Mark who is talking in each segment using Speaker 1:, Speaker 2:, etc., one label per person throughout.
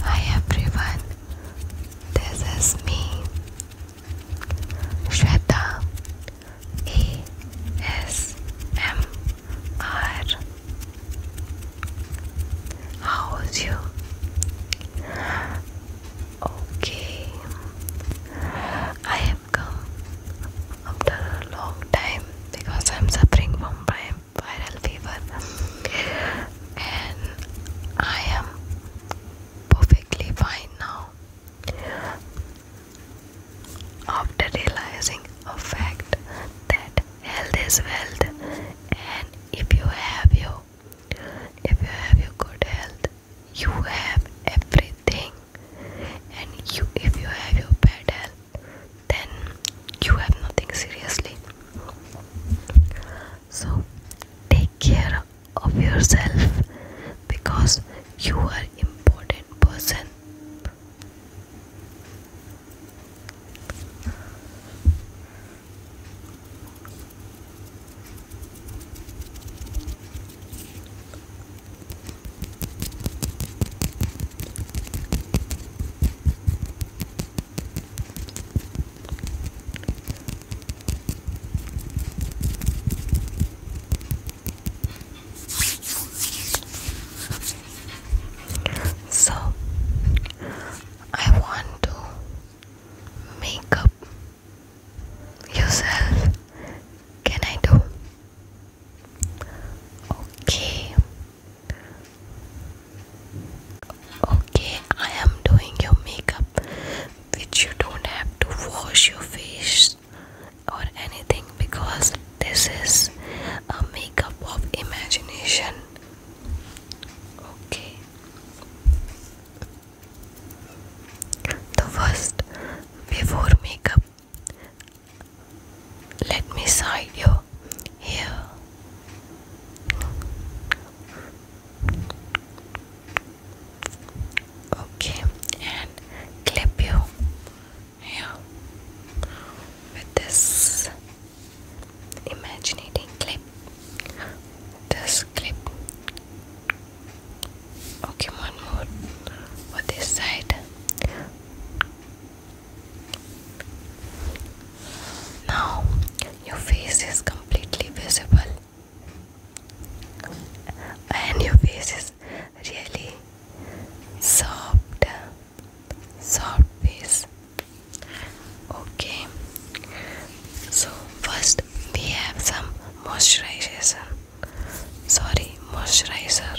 Speaker 1: Hi everyone, this is me, Shweta ASMR. How's you? Okay, I have come after a long time because I'm suffering from brain viral fever and I am perfectly fine now after realizing a fact that health is wealth and if you have your if you have your good health you have everything and you if you have your bad health then you have nothing seriously. So take care of yourself because you are important person. So, I want to make up yourself. Can I do? Okay. Okay, I am doing your makeup, which you don't have to wash your face or anything because this is a makeup of imagination. Okay, the first before makeup, let me side you here. Okay, and clip you here with this imaginating clip. This clip. Okay, one more for this side. Now your face is completely visible and your face is really soft soft face okay so first we have some moisturization sorry moisturizer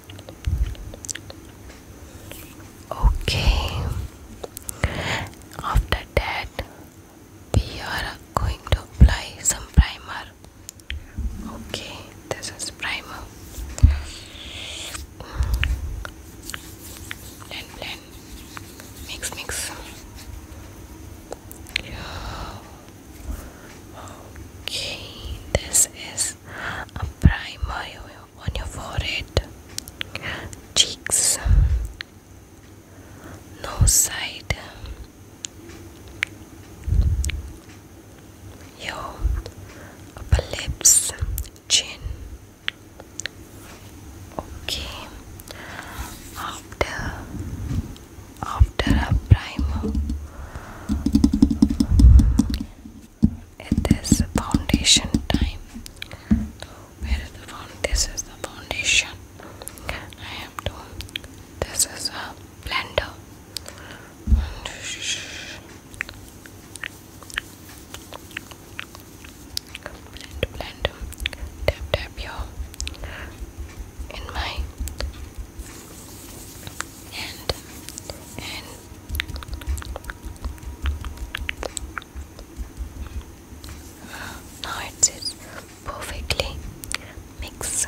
Speaker 1: Okay, after that, we are going to apply some primer. Okay, this is primer. Blend, blend, mix, mix. Okay, this is a primer on your forehead, cheeks, nose side, your lips, chin. Okay, after after a primer it is foundation time. the foundation? This is the foundation. I have to. This is a blender. Blend, blend. Tap, tap your in my hand and now it is perfectly mixed.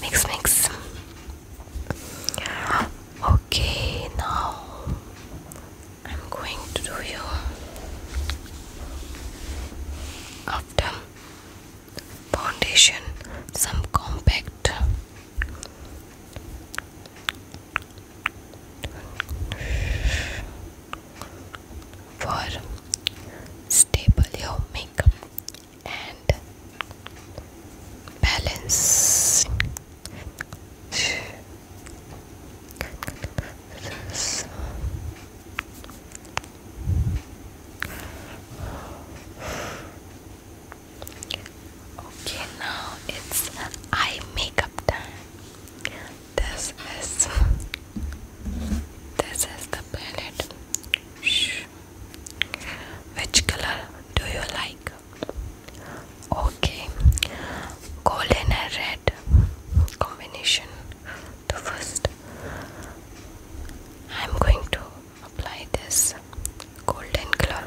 Speaker 1: Mix, mix. Okay, now I'm going to do you after foundation some compact for stable your makeup and balance Okay, now it's eye makeup time. This is this is the palette. Shh. Which color do you like? Okay, golden and red combination. The first, I'm going to apply this golden color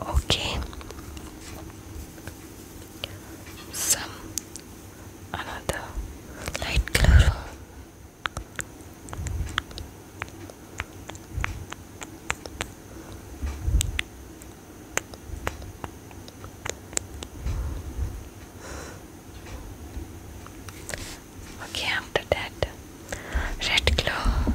Speaker 1: Okay. Some another light color. Okay, after that, red glow.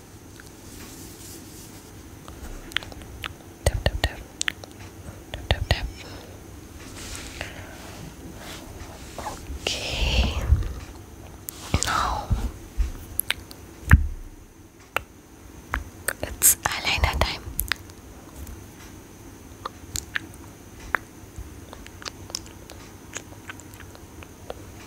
Speaker 1: Tap tap tap. Tap tap tap. Okay. Now it's eyeliner time.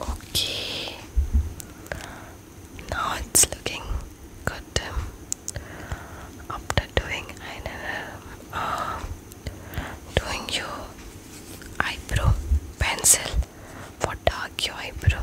Speaker 1: Okay, now it's looking good. After doing eyeliner, uh, doing your eyebrow pencil for dark your eyebrow.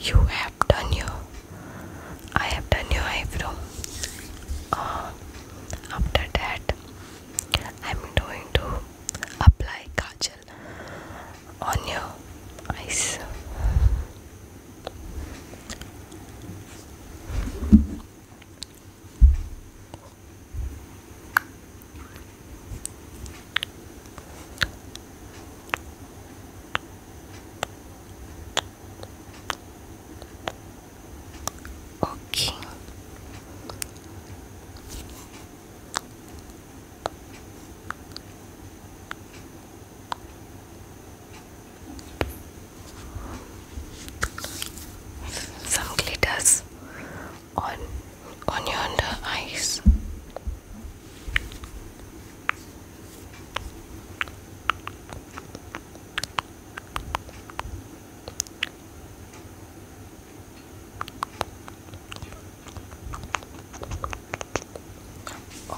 Speaker 1: You have done your I have done your eyebrow. Uh, after that, I'm going to apply kajal on your eyes. Okay. Some glitters on on your under eyes.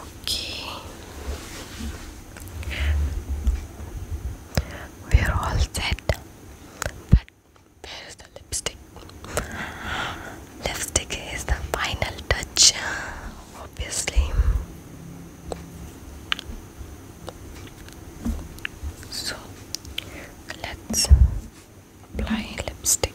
Speaker 1: Okay, we're all set, but where is the lipstick? Lipstick is the final touch, obviously. So let's apply lipstick.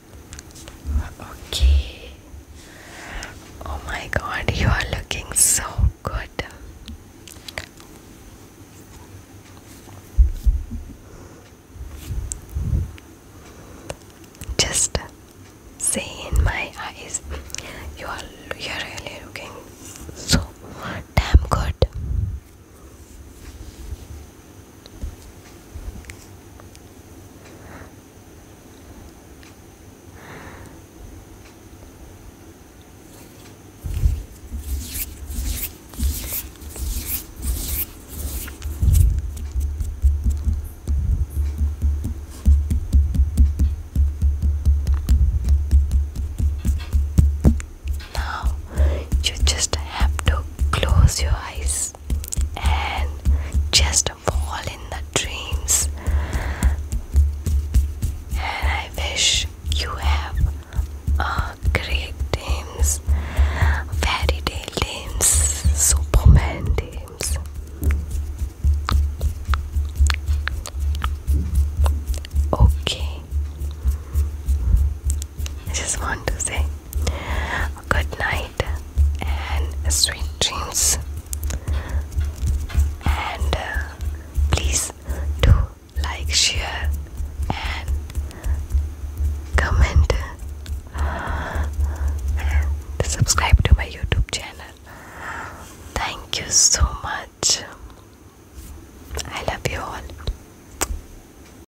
Speaker 1: Okay. Oh my god, you are looking so good. Just say in my eyes, you are you are really looking so damn good. Now you just have to close your eyes dreams and just fall in the dreams. And I wish you have a great dreams, fairy tale dreams, Superman dreams. Okay. I just want to say good night and sweet dreams and uh, please do like share and comment and subscribe to my youtube channel thank you so much i love you all